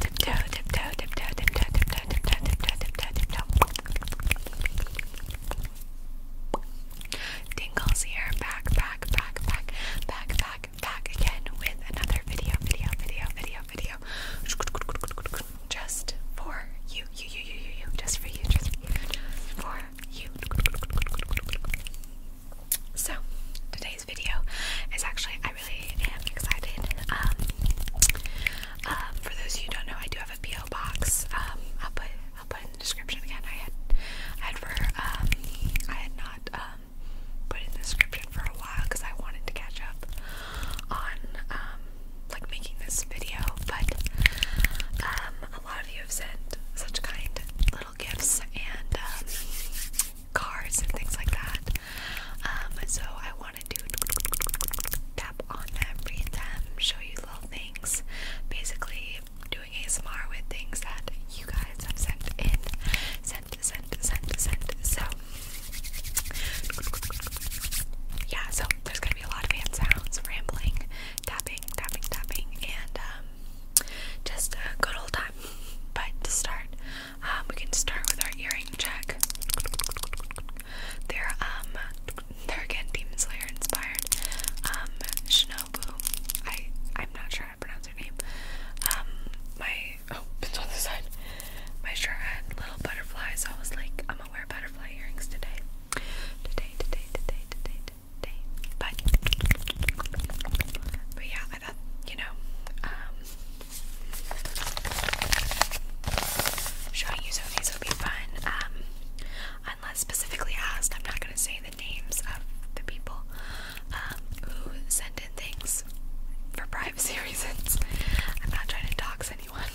Tiptoe, tiptoe, tiptoe, tiptoe, tiptoe, tiptoe, tiptoe, tiptoe, tiptoe. Dingle's here, back, back, back, back, back, back, back again with another video, video, video, video, video. Just for you, you, you, you, you, you, just for you, just for you. So, today's video is actually I really am excited. Um, um, for those of you who don't know, I do have a PO box. Um, I'll put I'll put in the description again. I had I had for I had not put in the description for a while because I wanted to catch up on like making this video, but a lot of you have sent such kind little gifts and cards and things like that. so I to tap on every them, show you little things. Basically, doing ASMR with things that you guys have sent in, sent, sent, sent, sent. So, yeah. So there's gonna be a lot of hands, sounds, rambling, tapping, tapping, tapping, and um, just a good old time. But to start, um, we can start with our earring check. They're um they're again Demon Slayer inspired. Um I I'm not sure how to pronounce her name. Um, my oh it's on the side. My shirt had little butterflies, I was like, I'm gonna wear butterfly earrings today. Today, today, today, today, today. But but yeah, you know, um, Showing you some of be fun. unless specifically asked, I'm not going to say the names of the people who send in things for privacy reasons. I'm not trying to tox anyone.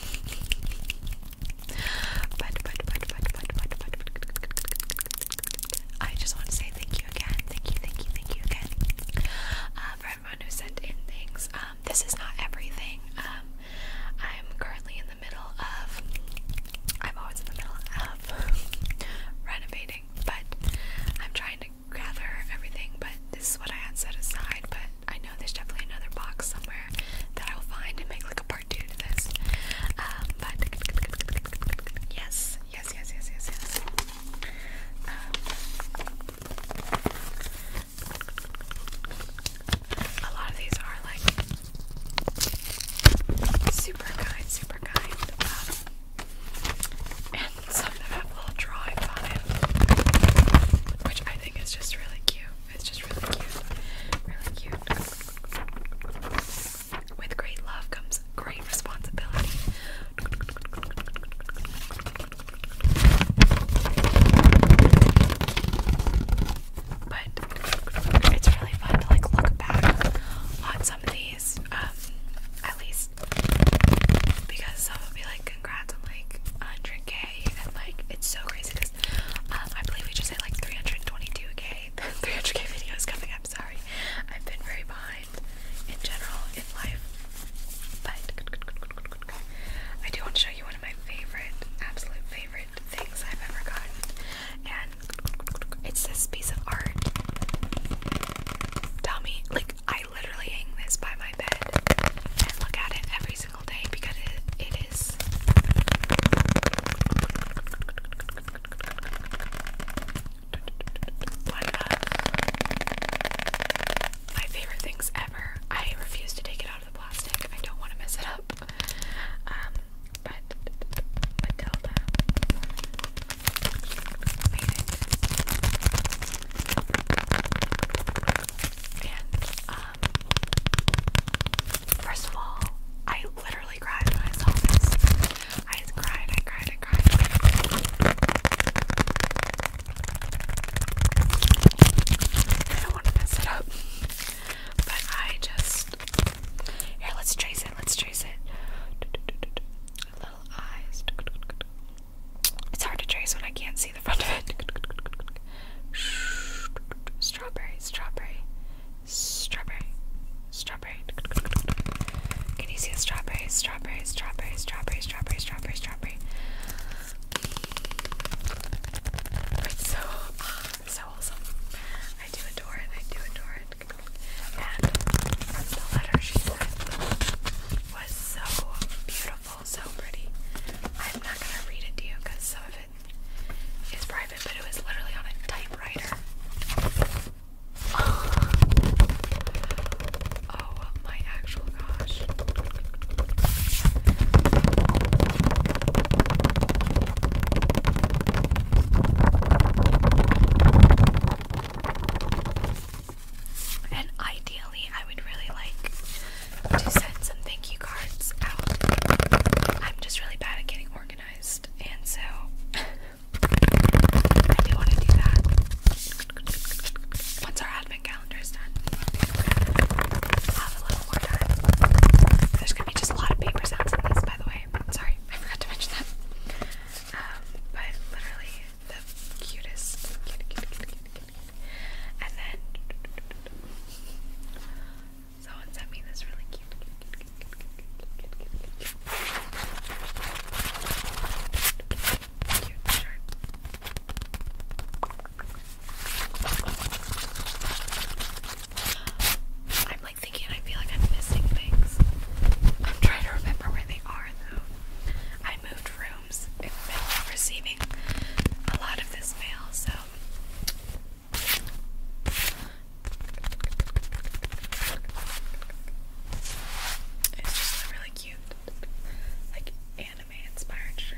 but, but, but, but, but, but, but, but, I just want to say thank you again. Thank you, thank you, thank you again for everyone who sent in things. Um, this is not everything. Um, I'm currently in the middle of. I'm always in the middle of renovating, but I'm trying to gather everything. But this is what I had set aside. But I know there's definitely another box somewhere that I'll find and make like a part two to this. Um, but yes, yes, yes, yes, yes, yes. A lot of these are like super kind, super kind. Um, and some of them have little drawings on it, which I think is just really cute. It's just really cute. Really cute. With great love comes great responsibility. But it's really fun to like look back on some of these, um, at least because some be like, congrats on like 100k, and like it's so crazy um, I believe we just hit like 322k. 300k video is coming up. Sorry, I've been very behind in general in life, but. I do want to show you one of my favorite, absolute favorite things I've ever gotten. And it's this piece of art. Tell me, like, I literally hang this by my bed and look at it every single day because it, it is my favorite things ever. I refuse to take it out of the plastic. I don't want to mess it up. Um, but Matilda, made it. And um, first of all, I literally cried when I saw this. I cried. I cried. I cried. I don't want to mess it up. But I just here. Let's trace it. Let's trace it. Little eyes. It's hard to trace when I can't see the front of it. Strawberry. Strawberry. Strawberry. Strawberry. Can you see a strawberry? Strawberry. Strawberry. Strawberry. Strawberry. Strawberry. Strawberry. Strawberry. It's so, so awesome. I do adore it. I do adore it. And the letter she sent was so beautiful, so pretty. I'm not gonna read it to you because some of it is private, but it was literally on a typewriter. Oh my actual gosh. And ideally, I would really like to send some thank you cards out. I'm just really bad at getting organized, and so I do want to do that. Once our ad there's gonna be just a lot of paper sounds in this, by the way. Sorry, I forgot to mention that. but literally the cutest. And then someone sent me this really cute cute shirt. I'm like thinking I feel like I'm missing things. I'm trying to remember where they are though. I moved rooms in the middle receiving a lot of this mail, so it's just really cute. Like, and inspired shirt.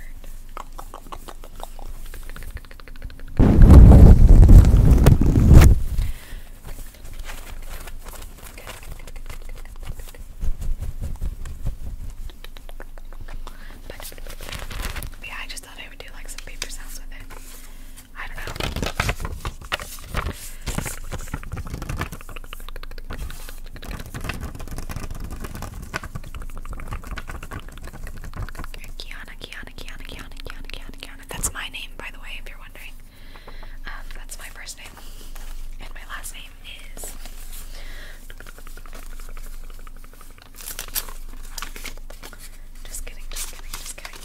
I just thought I would do like some paper sounds with it. I don't know. Kiana, Kiana, Kiana, Kiana, Kiana, Kiana, Kiana. That's my name, by the way, if you're wondering. Um, that's my first name. And my last name is. Just kidding, just kidding, just kidding.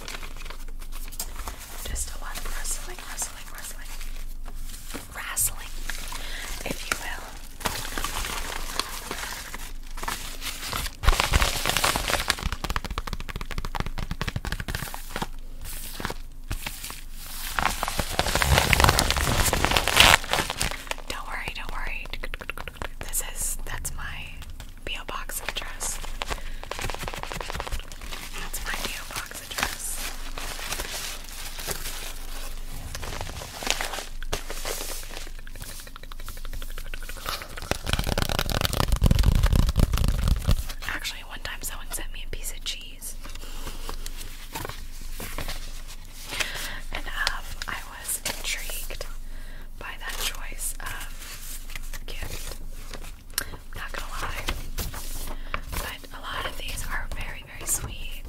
Just a lot of wrestling, wrestling, wrestling razzling, if you will. Don't worry, don't worry. This is that's my PO box address. That's my PO box address. Actually, one time someone sent me a piece of cheese. And um, I was intrigued by that choice of gift. Not gonna lie. But a lot of these are very very, sweet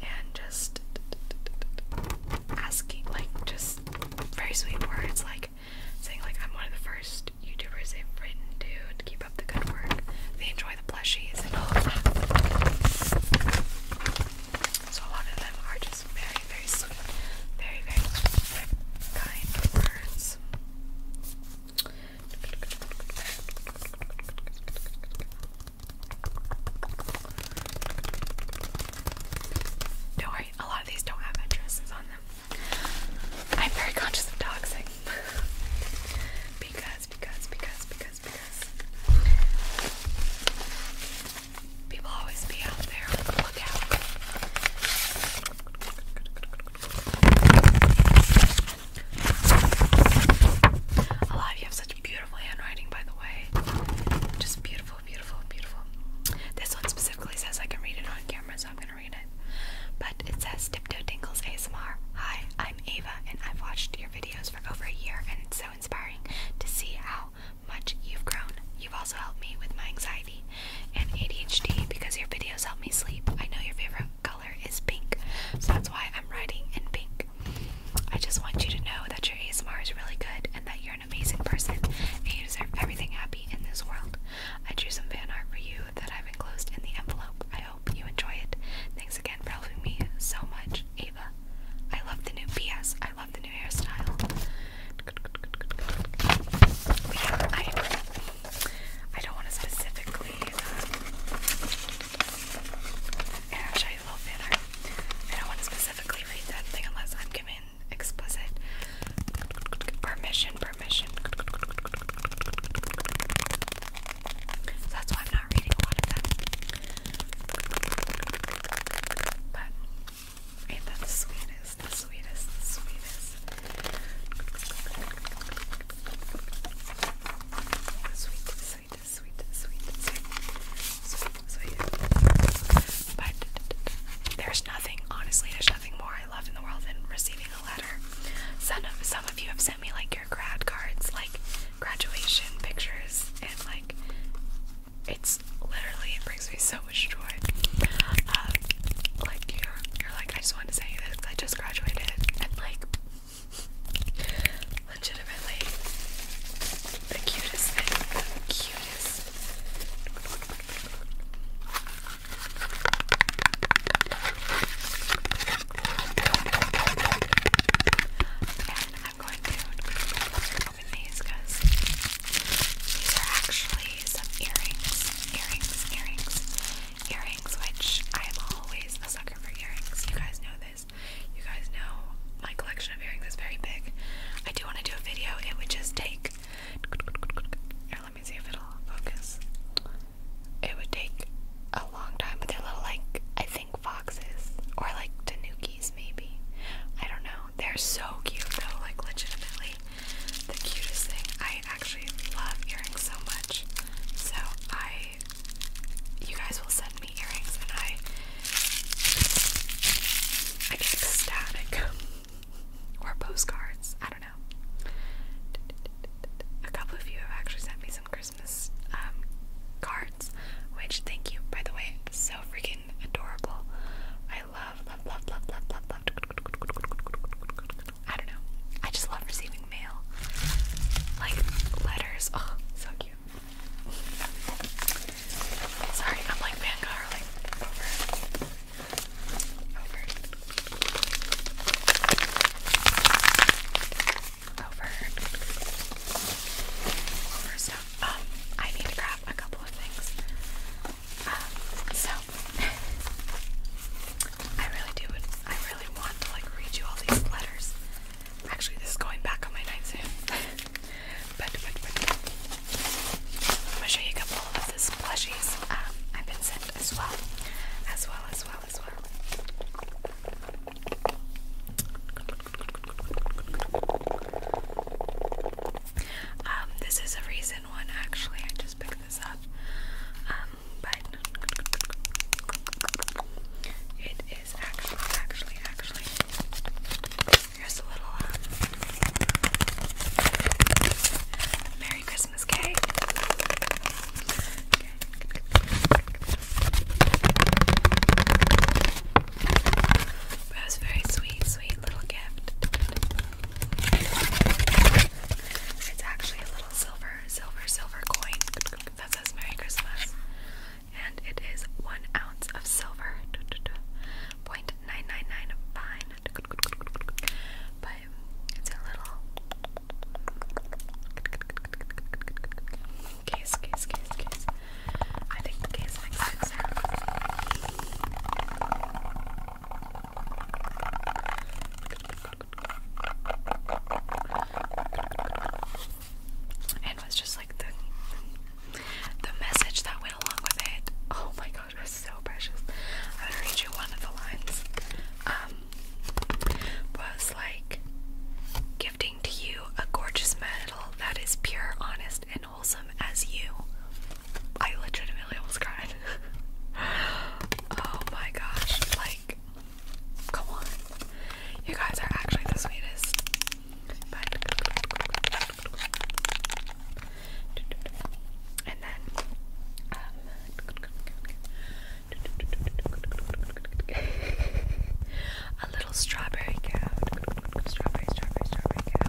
and just asking, like, just very sweet words, like saying, like, I'm one of the first YouTubers they've written to, to keep up the good work. They enjoy the plushies and all that. So a lot of them are just very, very sweet, very, very kind words. Don't worry, a lot of these don't have addresses on them. I'm very conscious of doxing. because, because, because, because, because. People always be out there on the lookout. A lot of you have such beautiful beautiful handwriting, by the way. Just beautiful, beautiful, beautiful. This one specifically says I can read it on camera, so I'm gonna read it. But it says Tiptoe Dingles ASMR. Hi, I'm Ava, and I've watched your videos for over a year, and it's so inspiring to see how much you've grown. You've also helped me with my anxiety and ADHD because your videos help me sleep. I know your favorite color is pink, so that's why I'm writing in pink. I just want you to know that your ASMR is really good and that you're an amazing person and you deserve everything happy in this world. I drew some fan art for you that I've enclosed in the envelope. I hope you enjoy it. Thanks again for helping me so much, Ava. I love the new PS. I love the new hairstyle. I, don't want to specifically. Um, I don't want to specifically read that thing unless I'm giving explicit permission. Permission. that's why I'm not reading a lot of them. But ain't that the sweetest? The sweetest. The sweetest. Sweet, sweet, sweet, sweet, sweet, But there's nothing, honestly, there's nothing more I love in the world than receiving a letter. Some of, some of you have sent me like your grad cards, like graduation pictures, and like it's literally brings me so much joy. Um, like you're, you're like I just wanted to say this because I just graduated, and like Legitimately the cutest thing. The cutest. And I'm going to open these because these are actually some earrings. Earrings, earrings, earrings, which I'm always a sucker for earrings. You guys know this. You guys know my collection of earrings is very big. I do want to do a video. It would just take. Here, let me see if it'll focus. It would take a long time, but they're little, like, I think foxes or like tanukis, maybe. I don't know. They're so cute, though, like, legitimately the cutest thing. I actually love earrings so much. So I you guys will send me earrings and I I get ecstatic. or postcards. I don't know. A couple of you have actually sent me some Christmas um, cards, which thank you, by the way. So freaking adorable. I love, love, love, love, love, love, love. I don't know. I just love receiving mail. Like letters. Oh, so cute. Sorry, I'm like Van over, over, over, over stuff. Um, I need to grab a couple of things. Um, so I really do. I really want to like read you all these letters. Actually, this is going back on my nightstand. But, but, show you a couple of these plushies um, I've been sent as well. As well, as well, as well. Um, this is a recent one actually, I just picked this up. Um, but it is actually, actually, actually. Here's a little um, Merry Christmas cake. Okay. That was a very sweet, sweet little gift. It's actually a little silver, silver, silver coin that says Merry Christmas and it is one ounce of silver. 0.999 But it's a little case, case, case, case. I think the case makes sense and was just like the the message that went along with it. Oh my god, it was so precious. I'm gonna read you one of the lines. Um, was like gifting to you a gorgeous metal that is pure, honest, and wholesome as you. I legitimately almost cried. oh my gosh, like, come on. You guys are actually the sweetest and then um, a little strawberry cow. Strawberry, cow.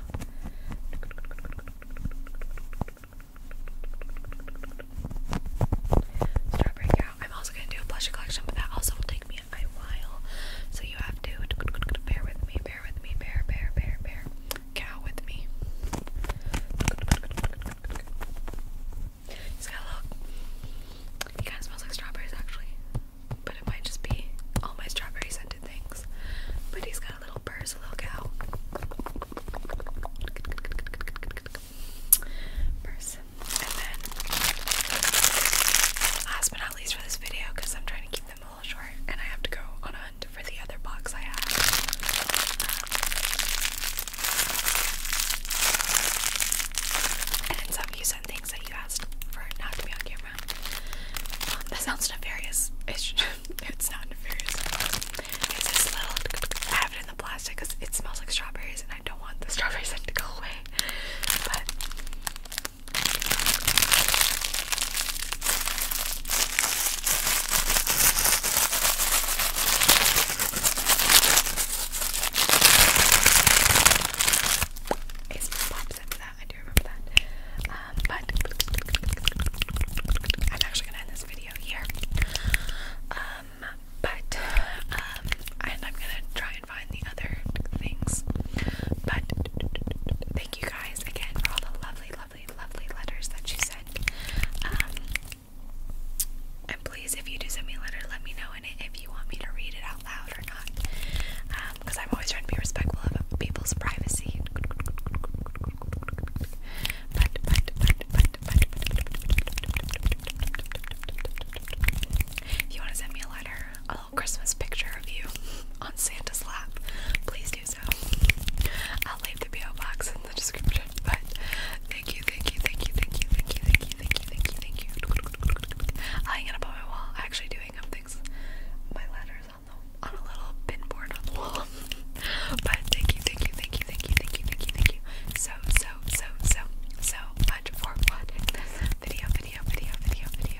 I'm also gonna do a blush collection, but that also will take me me while, so you have to bear with me, bear with me, bear, bear, bear, bear, cow with me. He's got a little. He kind of smells like strawberries actually, but it might just be all my strawberry scented things. But he's got a little purse, a little cow. Purse. And then, last but Please for this video, because I'm trying to keep them a little short, and I have to go on a hunt for the other box I have. and some you sent things that you asked for not to be on camera. Um, that sounds nefarious. It's, not nefarious. It's this little. I have it in the plastic because it smells like strawberries, and I don't want the strawberries scent to go away. It's pops after I do remember that. Um, but I'm actually gonna end this video here. Um, but um, and I'm gonna try find the other things. But thank you guys again for all the lovely, lovely, lovely letters that you sent. and please, if you do send me a letter, let me know in it if you want me to read it out loud or not. Because I'm always trying to be respectful of people's privacy. But, but, but, but, but, but, if you want to send me a letter, a little Christmas picture of you on Santa's lap, please do so. I'll leave the PO box in the description. But thank you, thank you, thank you, thank you, thank you, thank you, thank you, thank you, thank you. I hang it up on my wall. I actually do hang up things. My letters on the on a little pin board on the wall. but thank you, thank you, thank you, thank you, thank you, thank you, thank you. So, so, so, so, so much for watching this video, video, video, video, video.